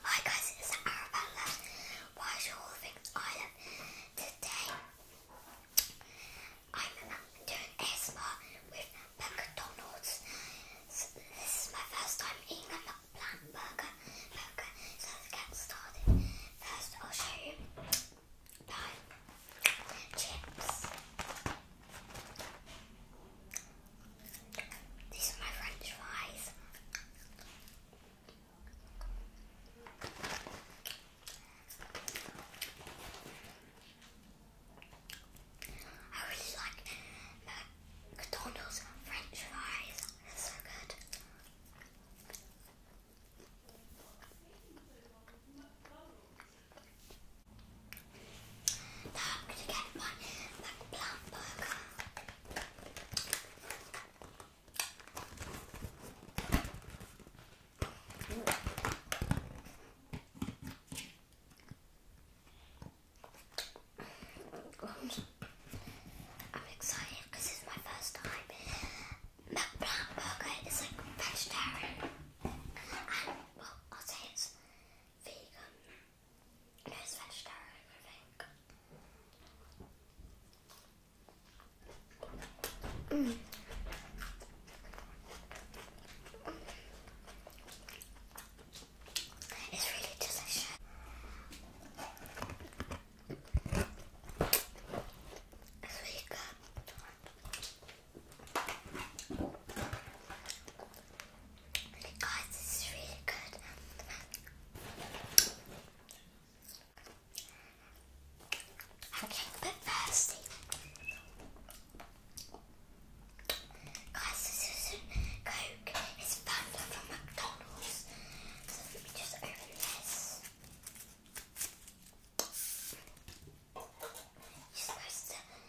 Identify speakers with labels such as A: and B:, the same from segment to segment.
A: Hi guys, it's Arabella. Why should all the things I today? I'm doing ASMR with McDonald's. this is my first time eating a McPlant burger. So let's get started. First, I'll show you my chips. These are my french fries. I really like McDonald's french fries. They're so good. Now I'm get my McPlant burger. I'm excited because it's my first time. McBrown burger is like vegetarian. well, I'll say it's vegan. No, it's vegetarian, I think. Mm. It's really delicious. It's really Guys, this is really good. I'm getting a Guys, this is a Coke. It's from McDonald's. So let me just open this. You're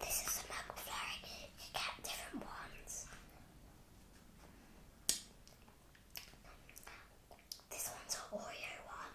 A: This is a McFlurry. You get different ones. This one's an Oreo one.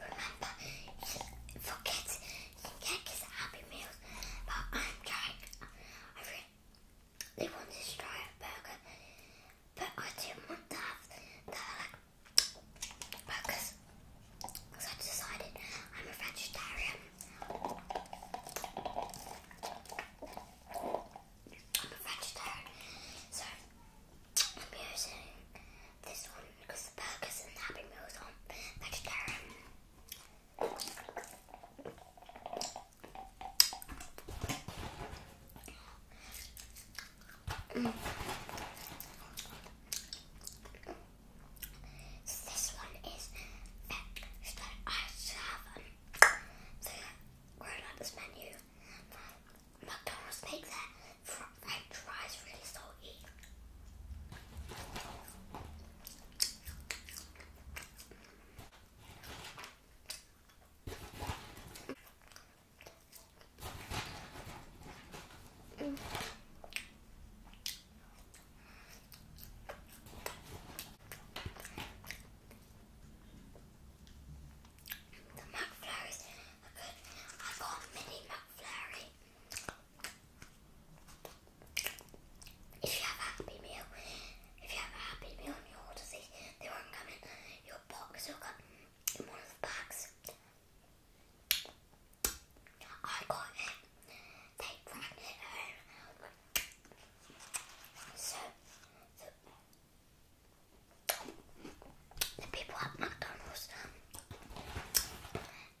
A: Remember, for kids, you can get kids Happy Meals, but I'm Jack. I really they to try a burger, but I didn't want to have the like because I decided I'm a vegetarian. I'm a vegetarian, so I'm using this one because the burgers and Happy Meals are vegetarian. So this one is vegetarian. I have um, the grown-ups menu. McDonald's make their fr french fries really salty. The McFlurries are good. got mini McFlurry. If you have a happy meal, if you have a happy meal and you they won't come your box, will come in one of the bags. I got it. They brought it home. So, the people at McDonald's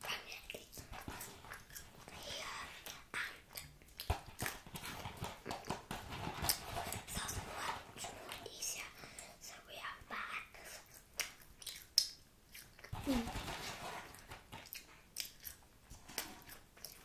A: primarily here So we are back.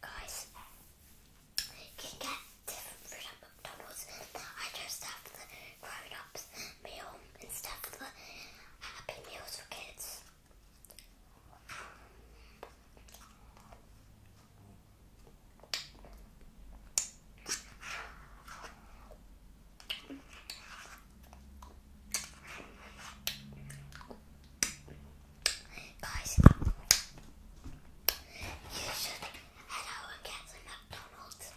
A: Guys, you get fruit at McDonald's. I just have the grown ups meal and stuff for happy meals for kids. Guys, you should head out and McDonald's.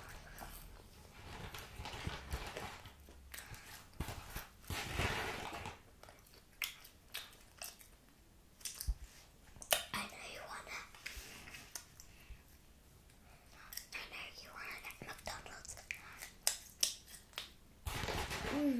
A: I know you wanna. I know you wanna McDonald's. Mm.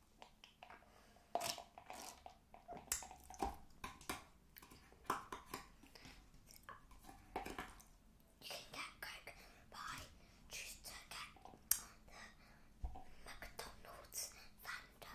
A: You can get Coke by choose to get the McDonald's Fanta.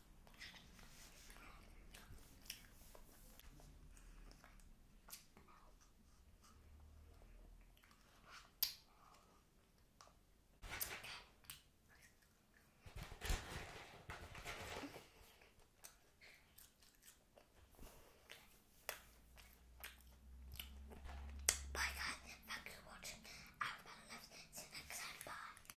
A: Bye guys, thank you for watching. Everybody loves. See you next time. Bye.